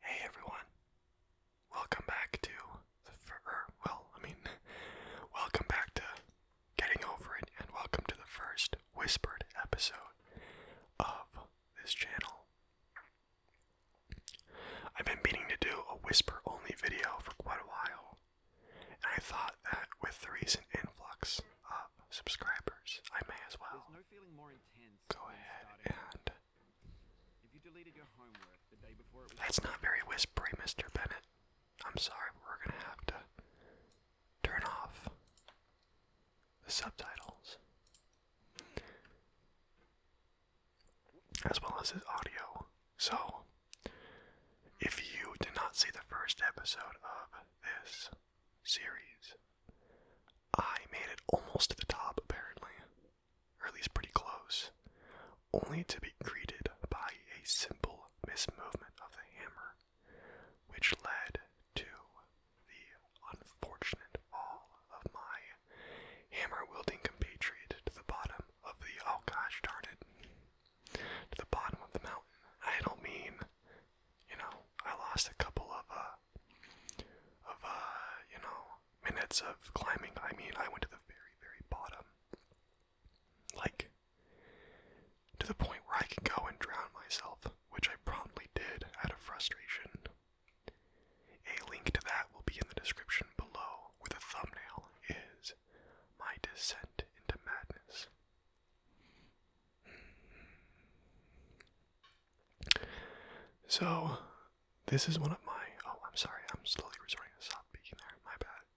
Hey everyone. Welcome back to the fur er, well, I mean welcome back to getting over it and welcome to the first whispered episode of this channel. I've been meaning to do a whisper only video for quite a while. And I thought that with the recent influx uh, subscribers, I may as well no more go ahead and. That's not very whispery, Mr. Bennett. I'm sorry, but we're gonna have to turn off the subtitles. As well as his audio. So, if you did not see the first episode of this, series. I made it almost to the top, apparently, or at least pretty close, only to be greeted by a simple mismovement of the hammer, which led to the unfortunate fall of my hammer wielding compatriot to the bottom of the oh gosh to the bottom of the mountain. I don't mean you know, I lost a couple of uh of uh, you know, minutes of climbing. I mean, I went to the very, very bottom. Like to the point where I could go and drown myself, which I promptly did out of frustration. A link to that will be in the description below, where the thumbnail is my descent into madness. So, this is one of my. Oh, I'm sorry. I'm slowly resorting to soft speaking there. My bad.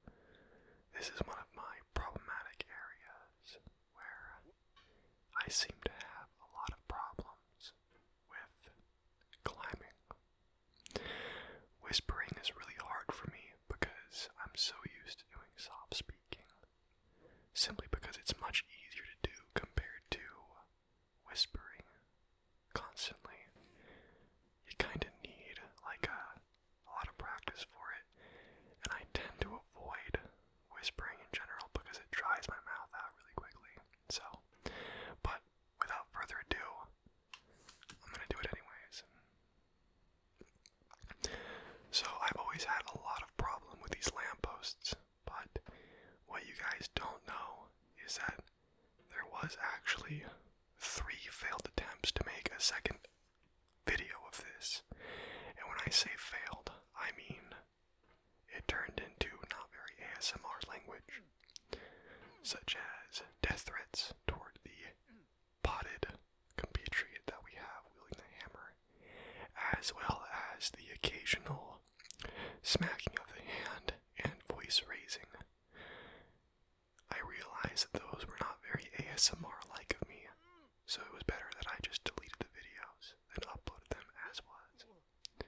This is one of my problematic areas where I seem to have a lot of problems with climbing. Whispering is really hard for me because I'm so used to doing soft speaking simply because it's much easier to do compared to whispering constantly. You kind of need like a, lot of practice for it, and I tend to avoid whispering in general because it dries my mouth out really quickly. So, but without further ado, I'm gonna do it anyways. So I've always had a lot of problem with these lampposts, but what you guys don't know is that there was actually three failed attempts to make a second video of this. And when I say failed, I mean it turned into not very ASMR language, such as death threats toward the potted compatriot that we have wielding the hammer, as well as the occasional smacking of the hand and voice raising. I realized that those were not very ASMR like of me, so it was better that I just deleted the videos and uploaded them as was.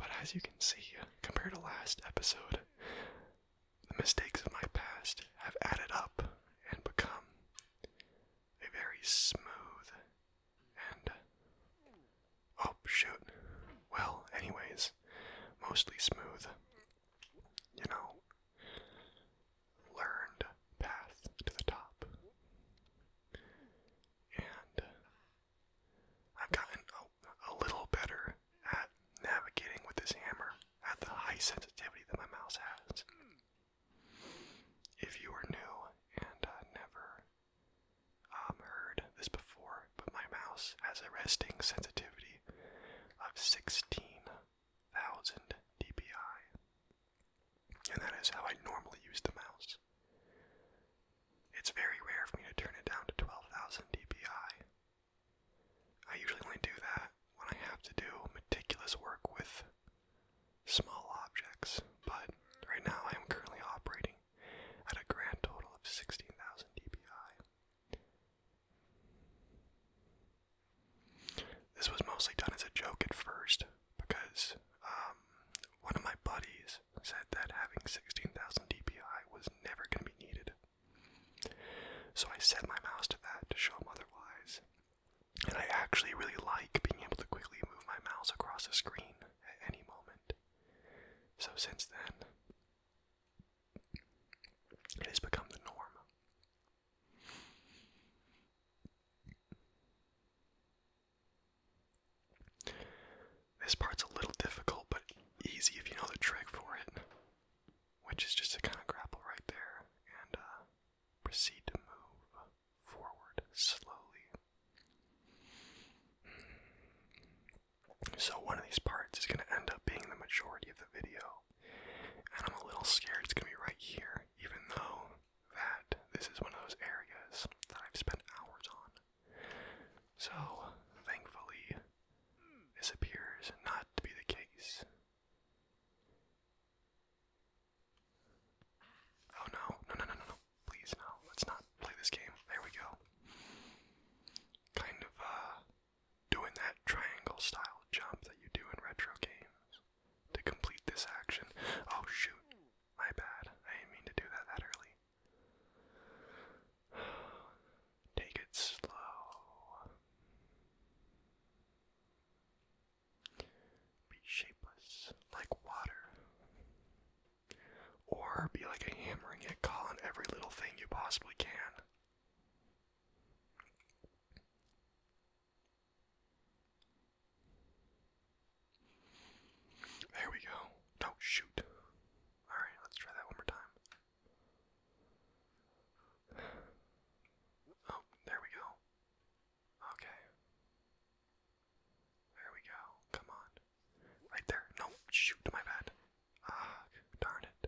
But as you can see, compared to last episode, the mistakes of my past have added up and become a very smooth and. Oh, shoot. Well, anyways, mostly smooth, you know, learned path to the top. And I've gotten a, a little better at navigating with this hammer at the high sensitivity that my mouse has. If you are new and uh, never um, heard this before, but my mouse has a resting sensitivity of 16,000 dpi, and that is how I normally use the mouse. It's very rare for me to turn it down to 12,000 dpi. I usually only do that when I have to do meticulous work with small objects, but right now I am currently operating at a grand total of 16,000 dpi. This was mostly done as a joke at first because um, one of my buddies said that having 16,000 dpi was never going to be needed. So I set my mouse to that to show him otherwise, and I actually really like being able to quickly move my mouse across the screen at any moment. So since then, it has become the norm. This part's a little difficult, but easy if you know the trick for it, which is just to kind of grapple right there and uh, proceed to move forward slowly. So, one of these parts is going to end up being the majority of the video, and I'm a little scared it's going to be right here, even though that this is one of those areas that I've spent hours on. So, thankfully, this appears not to be the case. Oh no, no, no, no, no, no. Please, no. Let's not play this game. There we go. Kind of, uh, doing that triangle style jump that you do in retro games to complete this action. Oh shoot. My bad. I didn't mean to do that that early. Take it slow. Be shapeless, like water. Or be like a hammering and get on every little thing you possibly can. There we go. No, shoot. Alright, let's try that one more time. Oh, there we go. Okay. There we go. Come on. Right there. No, shoot, my bad. Ah, darn it.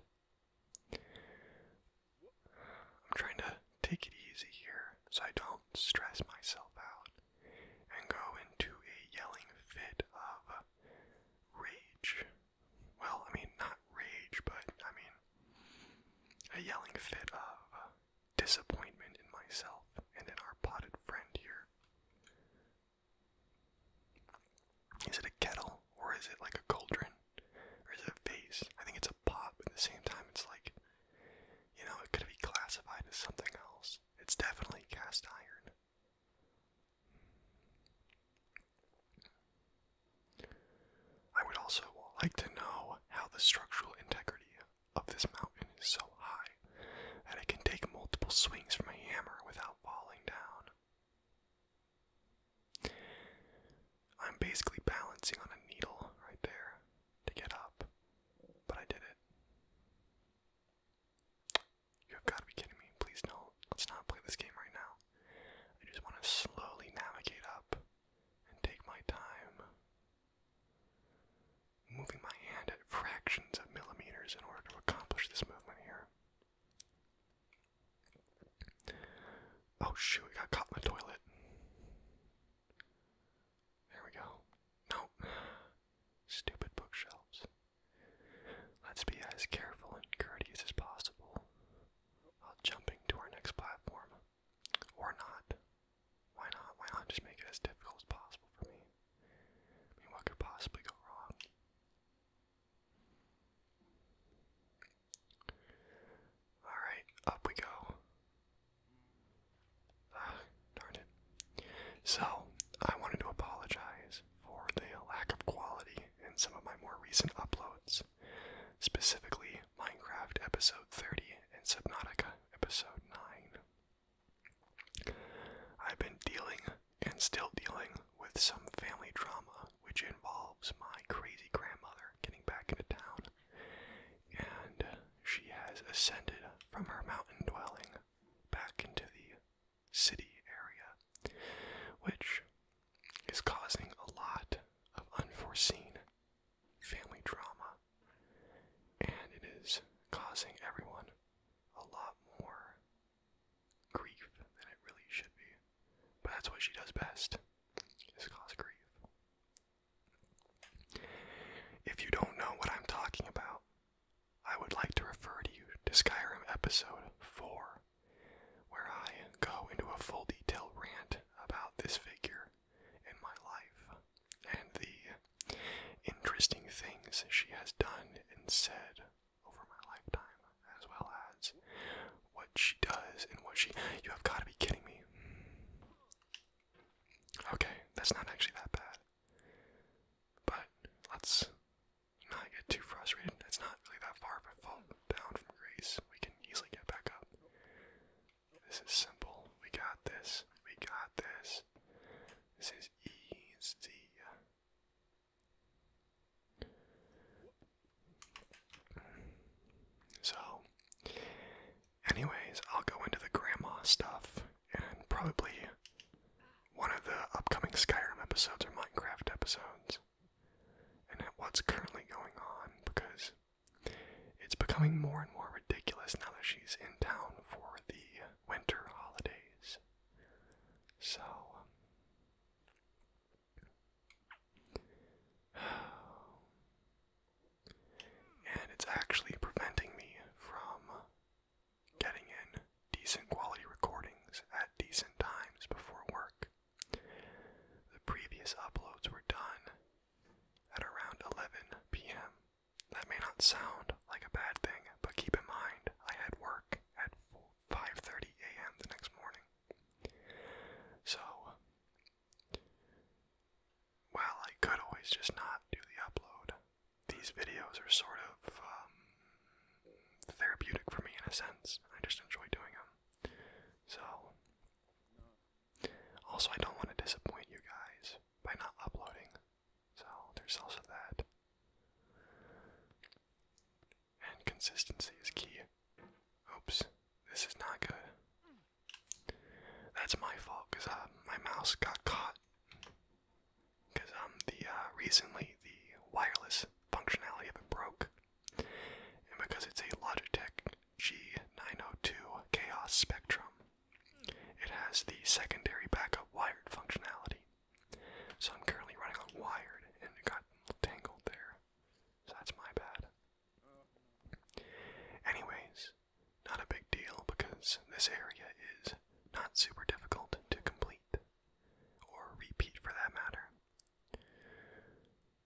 I'm trying to take it easy here so I don't stress myself out and go into a yelling fit of rage. Well, I mean, not rage, but I mean, a yelling fit of disappointment in myself and in our potted friend here. Is it a kettle or is it like a cauldron? Or is it a vase? I think it's a pot, but at the same time, it's like, you know, it could be classified as something else. It's definitely cast iron. I would also like to know how the structural integrity of this mountain is so high that I can take multiple swings from a hammer without falling down. I'm basically balancing on a needle right there to get up, but I did it. You have got to be kidding me. Please, no. Let's not play this game right now. I just want to slowly navigate up and take my time, moving my hand at fractions of millimeters in order to accomplish this movement here. Oh shoot, We got caught in the toilet. There we go. No. Stupid bookshelves. Let's be as careful and courteous as possible while jumping to our next platform. Or not. Why not? Why not just make it as difficult as possible for me? what could possibly go wrong? Alright, up we go. Ah, darn it. So, I wanted to apologize for the lack of quality in some of my more recent uploads. Specifically, Minecraft episode 30, and Subnautica episode 9. I've been dealing and still dealing with some family drama, which involves my crazy grandmother getting back into town, and she has ascended from her mountain dwelling back into the city area, which is causing a lot of unforeseen family drama, and it is causing everyone a lot more grief than it really should be. But that's what she does best, is cause grief. If you don't know what I'm talking about, I would like to refer to you to Skyrim episode 4, where I go into a full detail rant about this figure in my life and the interesting things she has done and said over my lifetime, as well as what she does and what she. You have got to be kidding me. Okay, that's not actually that bad. But let's not get too frustrated. It's not really that far down from grace. We can easily get back up. This is simple. We got this. We got this. This is easy. So, anyways, I'll go into the grandma stuff and probably one of the upcoming Skyrim episodes or Minecraft episodes and what's currently going on because it's becoming more and more ridiculous now that she's in town for the winter holidays. So. Um, and it's actually preventing me from getting in decent quality recordings at decent times before work. The previous uploads were done at around 11 p.m. That may not sound like a bad thing, but keep in mind I had work at 5:30 a.m. the next morning. So while I could always just not do the upload, these videos are sort of um, therapeutic for me in a sense. I just enjoy doing them. So also, I don't want to disappoint you guys by not uploading, so there's also that. And consistency is key. Oops, this is not good. That's my fault because uh, my mouse got caught. Because um, the uh, recently the wireless functionality of it broke, and because it's a Logitech G902 Chaos Spectrum. It has the secondary backup wired functionality. So I'm currently running on wired and it got tangled there. So that's my bad. Anyways, not a big deal because this area is not super difficult to complete, or repeat for that matter.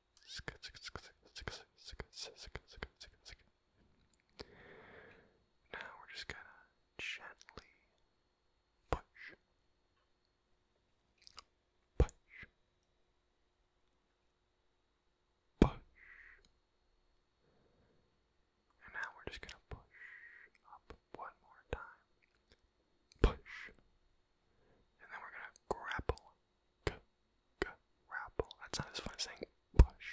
now we're just gonna gently push, push, push, and now we're just gonna push up one more time, push, and then we're gonna grapple K, That's not as fun saying push.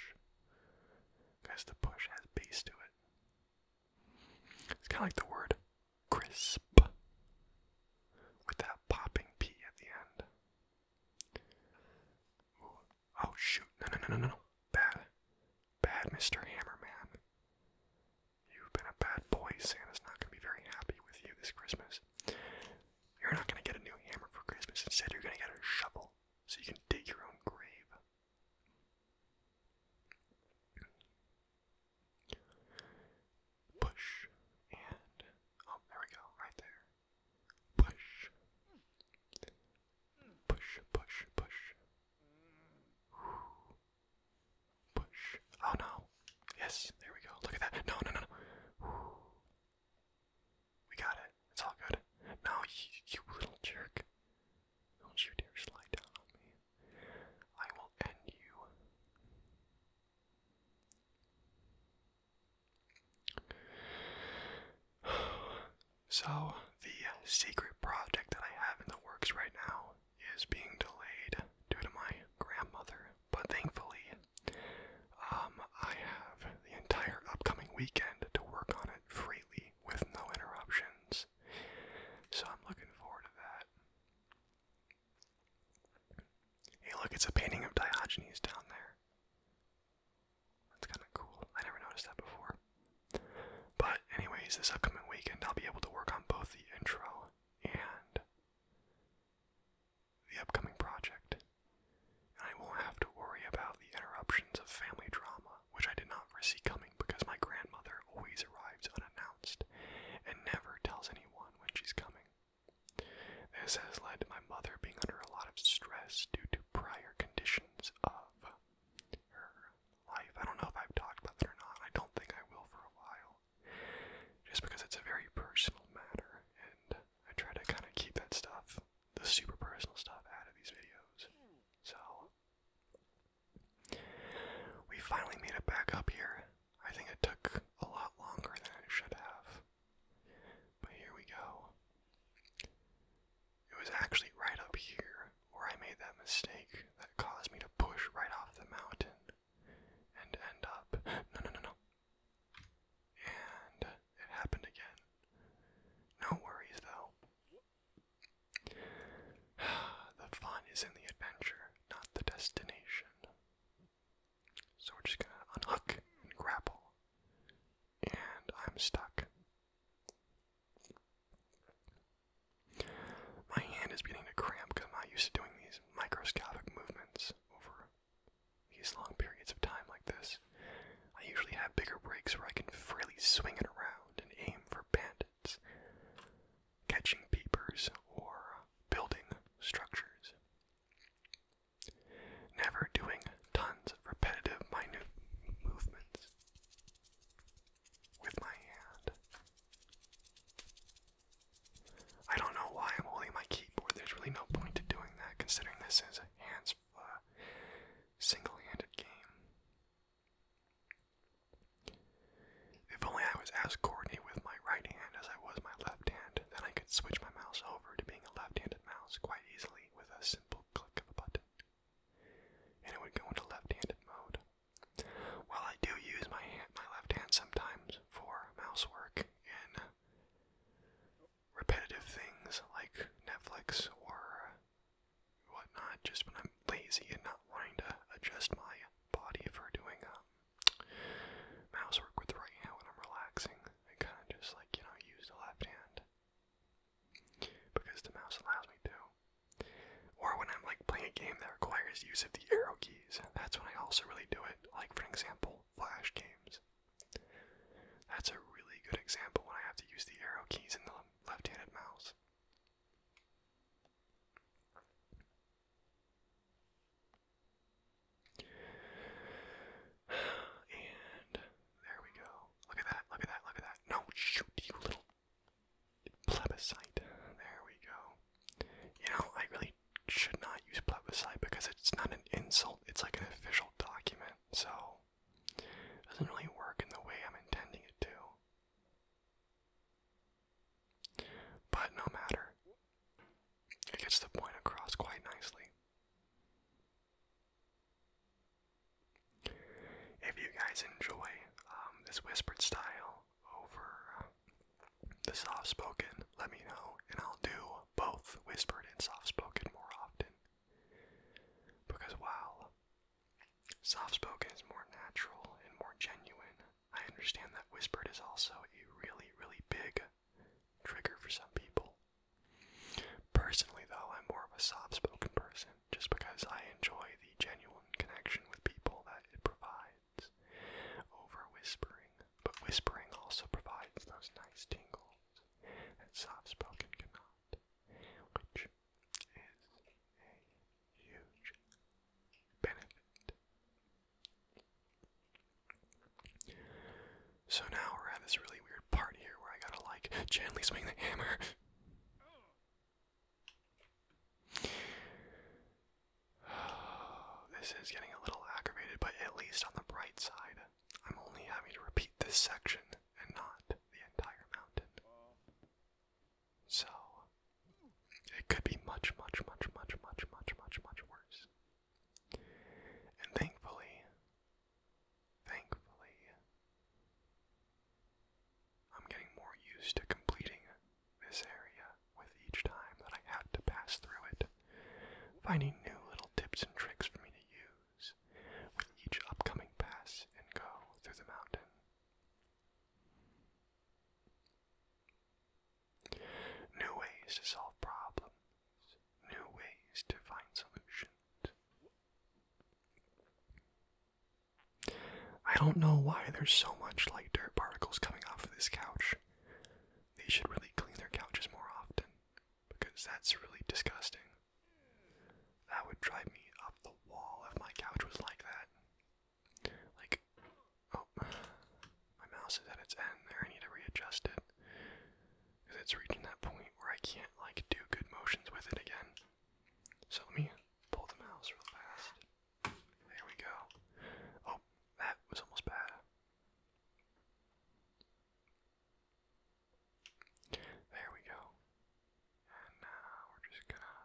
Because the push has bass to it. It's kind of like the word crisp. With that popping P at the end. Oh shoot. no, no, no, no, no. Bad. Bad Mr. Hammerman. You've been a bad boy. Santa's not going to be very happy with you this Christmas. You're not going to get a new hammer for Christmas. Instead, you're going to get a shovel so you can dig your own grave. Push and. Oh, there we go, right there. Push. Push, push, push. Push. Oh no. Yes, there we go. Look at that. No, no, no, we got it. It's all good. No, you, you little jerk. Don't you dare slide down on me. I will end you. So, the secret project that I have in the works right now is being delayed due to my grandmother but thankfully, um, I have the entire upcoming weekend to work on it freely with no interruptions. So I'm looking forward to that. Hey, look, it's a painting of Diogenes down there. That's kind of cool. I never noticed that before. But, anyways, this upcoming weekend I'll be able to work on both the intro and the upcoming project, and I won't have to worry about the interruptions of family drama, which I did not foresee coming because my grandmother always arrives unannounced and never tells anyone when she's coming. This has led to my mother being under a lot of stress due to prior conditions of her life. I don't know if I've talked about that or not. I don't think I will for a while. Just because it's a very personal matter and I try to kind of keep that stuff, the super personal stuff, out of these videos. So, we finally made it back up here. I think it took a lot longer than it should have. But here we go. It was actually right up here where I made that mistake that caused me to push right off the mountain and end up. No, no, no, no. And it happened again. No worries though. The fun is in the adventure, not the destination. So we're just gonna unhook and grapple. And I'm stuck. My hand is beginning to cramp because I'm not used to doing these microscopic movements over these long periods of time like this. I usually have bigger breaks where I can freely swing it around and aim for bandits, catching peepers, or building structures. Never doing tons of repetitive, minute movements with my hand. I don't know why I'm holding my keyboard. There's really no point to doing that considering this is a hands uh, single-handed game. If only I was as Courtney with my right hand as I was my left hand, then I could switch my mouse over to being a left-handed mouse quite easily with a simple click of a button. And it would go into left-handed mode. While I do use my hand, my left hand sometimes for mouse work and repetitive things like Netflix or whatnot, just when I'm lazy and not wanting to adjust my body for doing um, mouse work with the right hand when I'm relaxing. I kind of just like, you know, use the left hand because the mouse allows me to. Or when I'm like playing a game that requires use of the arrow keys, that's when I also really do it. Like, for example, Flash games. That's a really good example when I have to use the arrow keys in the left-handed mouse. And there we go. Look at that, look at that, look at that. No, shoot, you little plebiscite. There we go. You know, I really should not use plebiscite because it's not an insult, it's like an official document, so it doesn't really work in the way I'm intending it to. But no matter, it gets the point across quite nicely. If you guys enjoy um, this whispered style over uh, the soft spoken, let me know, and I'll do both whispered and soft spoken more often. Because while soft spoken is more natural and more genuine, I understand that whispered is also a really, really big trigger for some people. Personally, though, I'm more of a soft spoken person just because I enjoy the genuine connection with people that it provides over whispering but whispering also provides those nice tingles that soft spoken cannot, which is a huge benefit. So now we're at this really weird part here where I gotta like gently swing the hammer. this is getting a little aggravated, but at least on the bright side, I'm only having to repeat this section and not the entire mountain. So, it could be much, much, much, much, much, much, much, much worse. And thankfully, thankfully, I'm getting more used to completing this area with each time that I had to pass through it finding new little tips and tricks for me to use with each upcoming pass and go through the mountain. New ways to solve problems, new ways to find solutions. I don't know why there's so much like dirt particles coming off of this couch. They should really clean their couches more often because that's really disgusting. That would drive me up the wall if my couch was like that. Like, oh, my mouse is at its end there. I need to readjust it because it's reaching that point where I can't like do good motions with it again. So let me pull the mouse real fast. There we go. Oh, that was almost bad. There we go. And now uh, we're just gonna.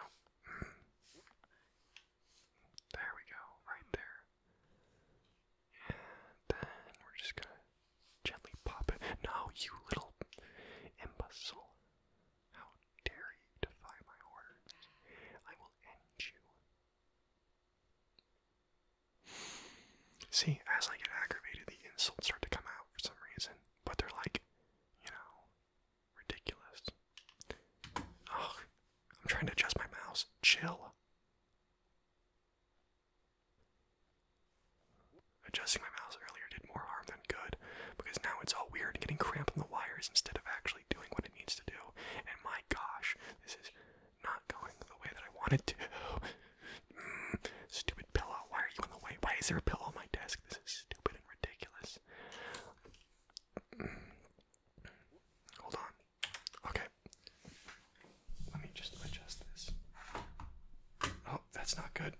No. there we go, right there. And then we're just gonna gently pop it. No, you little imbecile. How dare you defy my orders? I will end you. See, as I get aggravated, the insults start to come out for some reason, but they're like, you know, ridiculous. Oh, I'm trying to adjust my mouse. Chill. Adjusting my mouse earlier did more harm than good because now it's all weird and getting cramped on the wires instead of actually doing what it needs to do. And my gosh, this is not going the way that I wanted to. stupid pillow, why are you in the way? Why is there a pillow on my desk? This is stupid and ridiculous. Hold on. Okay. Let me just adjust this. Oh, that's not good.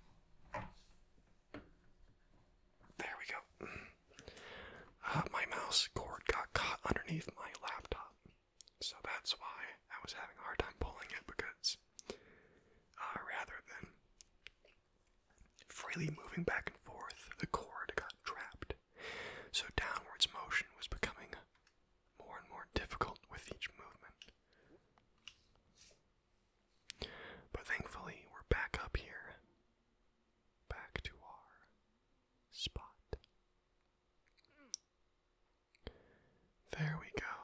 There we go. Uh, my mouse cord got caught underneath my laptop, so that's why I was having a hard time pulling it because uh, rather than freely moving back and forth, the cord got trapped. So downward motion was becoming more and more difficult with each movement. But thankfully, we're back up here, back to our spot. There we go.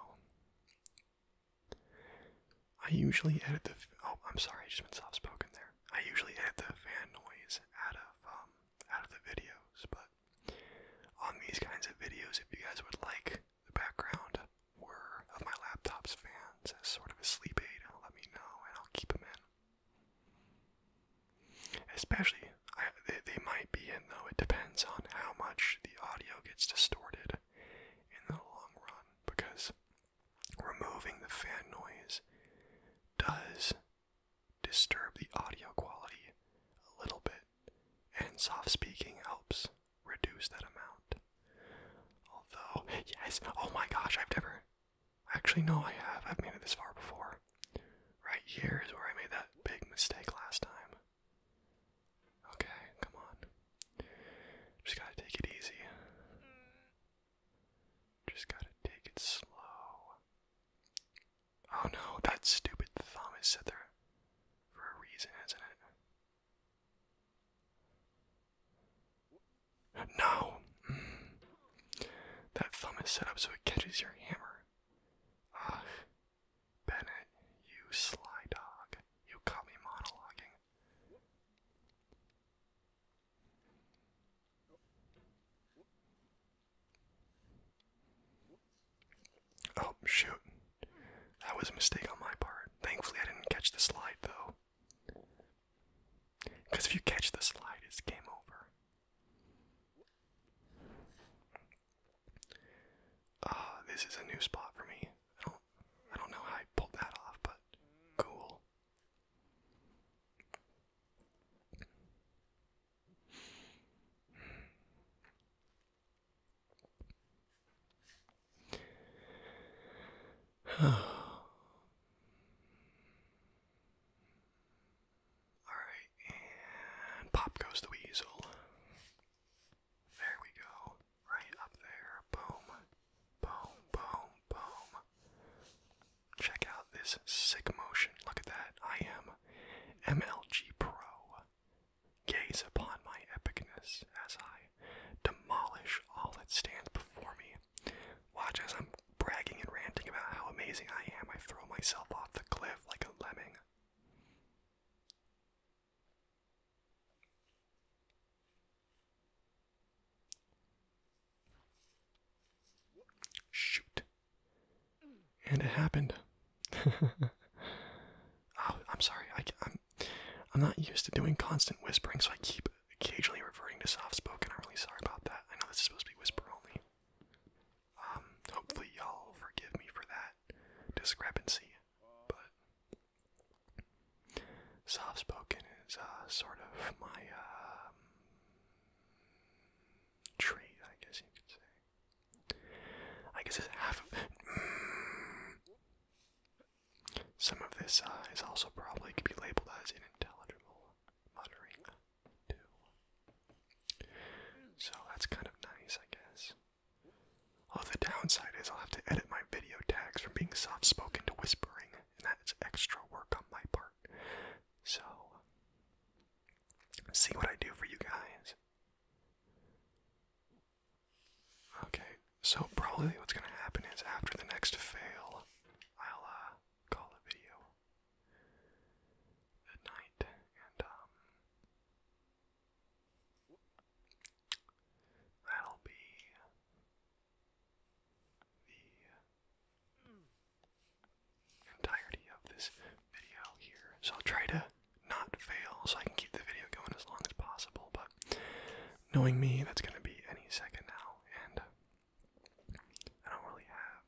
I usually edit the. Oh, I'm sorry, I just been soft spoken there. I usually edit the fan noise out of um, out of the videos, but on these kinds of videos, if you guys would like the background or of my laptop's fans as sort of a sleep aid, let me know and I'll keep them in. Especially, they, they might be in though. It depends on how much the audio gets distorted in the long run, because removing the fan noise does disturb the audio quality a little bit, and soft speaking helps reduce that amount. Although, yes, oh my gosh, I've never Actually, no, I have. I've made it this far before. Right here is where I made that big mistake last time. Okay, come on. Just gotta take it easy. Just gotta take it slow. Oh no, that stupid thumb is set there for a reason, isn't it? No! Mm. That thumb is set up so it catches your hammer. Ugh. Bennett, you sly dog. You caught me monologuing. Oh, shoot. That was a mistake on my part. Thankfully, I didn't catch the slide, though. Because if you catch the slide, it's game over. Uh, this is a new spot for me. I don't, I don't know how I pulled that off, but cool. Alright, and pop goes the weasel. There we go. Right up there. Boom. Boom, boom, boom. Check out this sick motion. Look at that. I am MLG Pro. Gaze upon my epicness as I demolish all that stands before me. Watch as I'm bragging and ranting about how amazing I am, I throw myself off the cliff like a lemming. Shoot. And it happened. Oh, I'm sorry. I'm, I'm not used to doing constant whispering, so I keep occasionally reverting to soft spoken. I'm really sorry about that. I know this is supposed to be whisper only. Um, hopefully y'all forgive me for that discrepancy, but soft spoken is uh, sort of my um, trait, I guess you could say. I guess half of. Some of this uh, also probably could be labeled as unintelligible muttering do. So that's kind of nice, I guess. Although the downside is I'll have to edit my video tags from being soft spoken to whispering, and that's extra work on my part. So, see what I do for you guys. Okay, so probably what's gonna happen is after the next fail, I'll uh, call it video at night, and um, that'll be the entirety of this video here. So I'll try to not fail so I can keep the video going as long as possible, but knowing me, that's going to be any second now, and I don't really have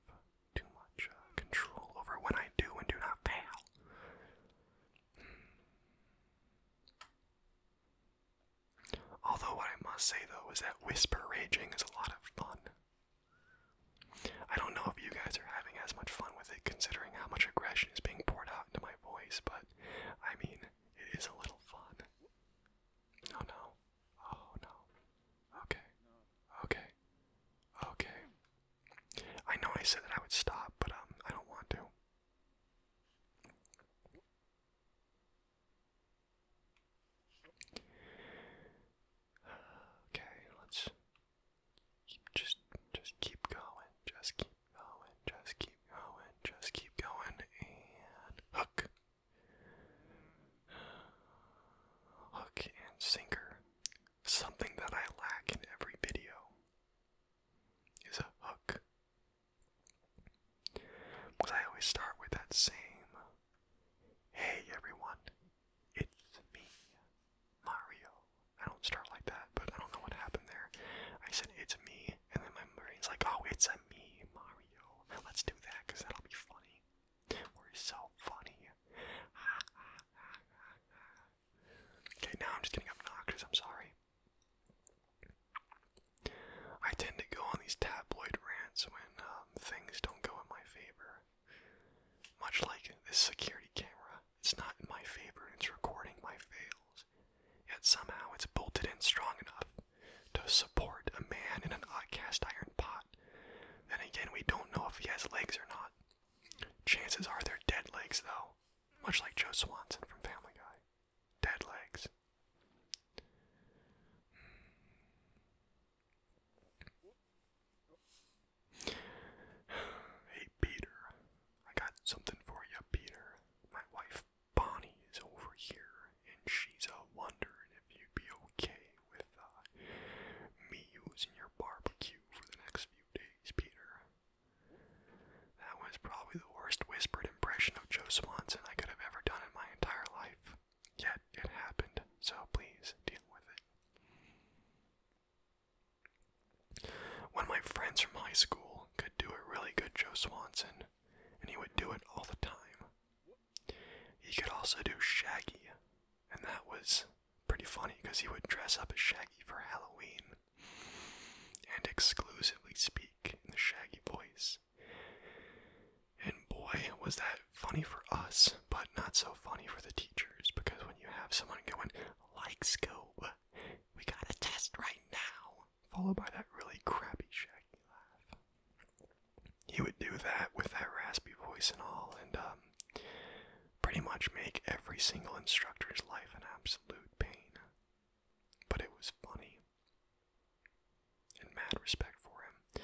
too much uh, control over what I do and do not fail. Hmm. Although, what I must say though is that whisper raging is a lot of fun. I don't know if you guys are having as much fun with it considering how much aggression is being poured out into my voice, but I mean, it is a little fun. Oh no. Oh no. Okay. Okay. Okay. I know I said that I would stop, but um I don't want to. Okay, let's keep just just keep going, just keep going, just keep going, just keep going, and hook, Hook and sinker. Something that I lack in every video is a hook. Because I always start with that same Hey everyone, it's me, Mario. I don't start like that, but I don't know what happened there. I said it's me, and then my brain's like, oh, it's a me, Mario. Let's do that because that'll be funny. We're so funny. okay, now I'm just getting obnoxious. I'm sorry. I tend to go on these tabloid rants when um, things don't go in my favor. Much like this security camera, it's not in my favor, it's recording my fails. Yet somehow it's bolted in strong enough to support a man in an odd cast iron pot not. Then again, we don't know if he has legs or not. Chances are they're dead legs, though, much like Joe Swanson from Family Guy. Dead legs. Hey, Peter. I got something for you, Peter. My wife Bonnie is over here and she's uh, wondering if you'd be okay with uh, me using your barbecue for the next few days, Peter. That was probably the worst whispered impression of Joe Swanson I could have ever done in my entire life. Yet it happened, so please deal with it. One of my friends from high school could do a really good Joe Swanson, and he would do it all the time. He could also do Shaggy, and that was pretty funny because he would dress up as Shaggy for Halloween and exclusively speak in the Shaggy voice. And boy, was that funny for us, but not so funny for the teachers because when you have someone going, like Scope, we got a test right now, followed by that really crappy Shaggy laugh, he would do that with that raspy voice and all, and um, pretty much make every single instructor's life an absolute pain. But it was funny, and mad respect for him.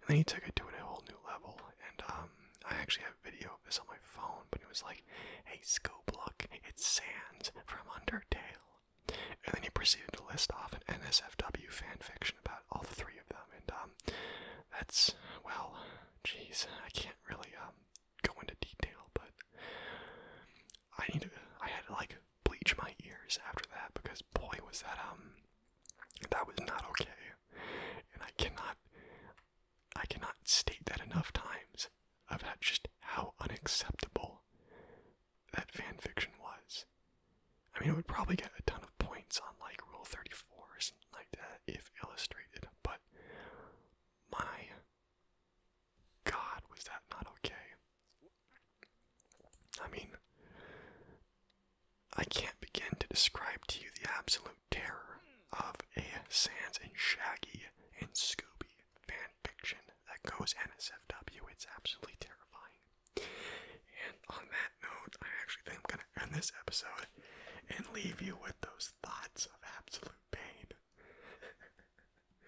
And then he took it to a whole new level, and um, I actually have a video of this on my phone, but it was like, hey, scope, look, it's Sands from Undertale. And then he proceeded to list off an NSFW fanfiction about all the three of them, and um, that's well, jeez, I can't really um, go into detail, but I need I had to like bleach my ears after that because boy was that um that was not okay, and I cannot I cannot state that enough times of just how unacceptable that fan fiction was. I mean, it would probably get a ton of points on like Rule 34 or something like that if illustrated, but my god, was that not okay? I mean, I can't begin to describe to you the absolute terror of a Sands and Shaggy and Scooby fanfiction that goes NSFW. It's absolutely terrifying. And on that note, I actually think I'm going to end this episode and leave you with those thoughts of absolute pain.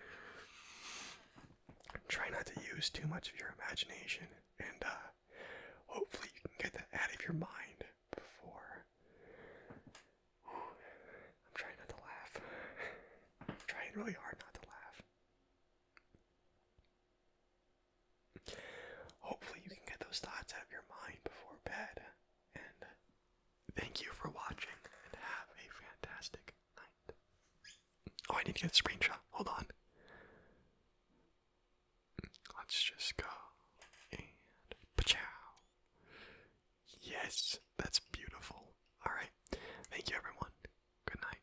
Try not to use too much of your imagination, and uh, hopefully, you can get that out of your mind before. I'm trying not to laugh. I'm trying really hard not to laugh. Hopefully, you can get those thoughts out of your mind before bed. And thank you for watching and have a fantastic night. Oh, I need to get a screenshot. Hold on. Let's just go and pachow. Yes, that's beautiful. Alright. Thank you, everyone. Good night.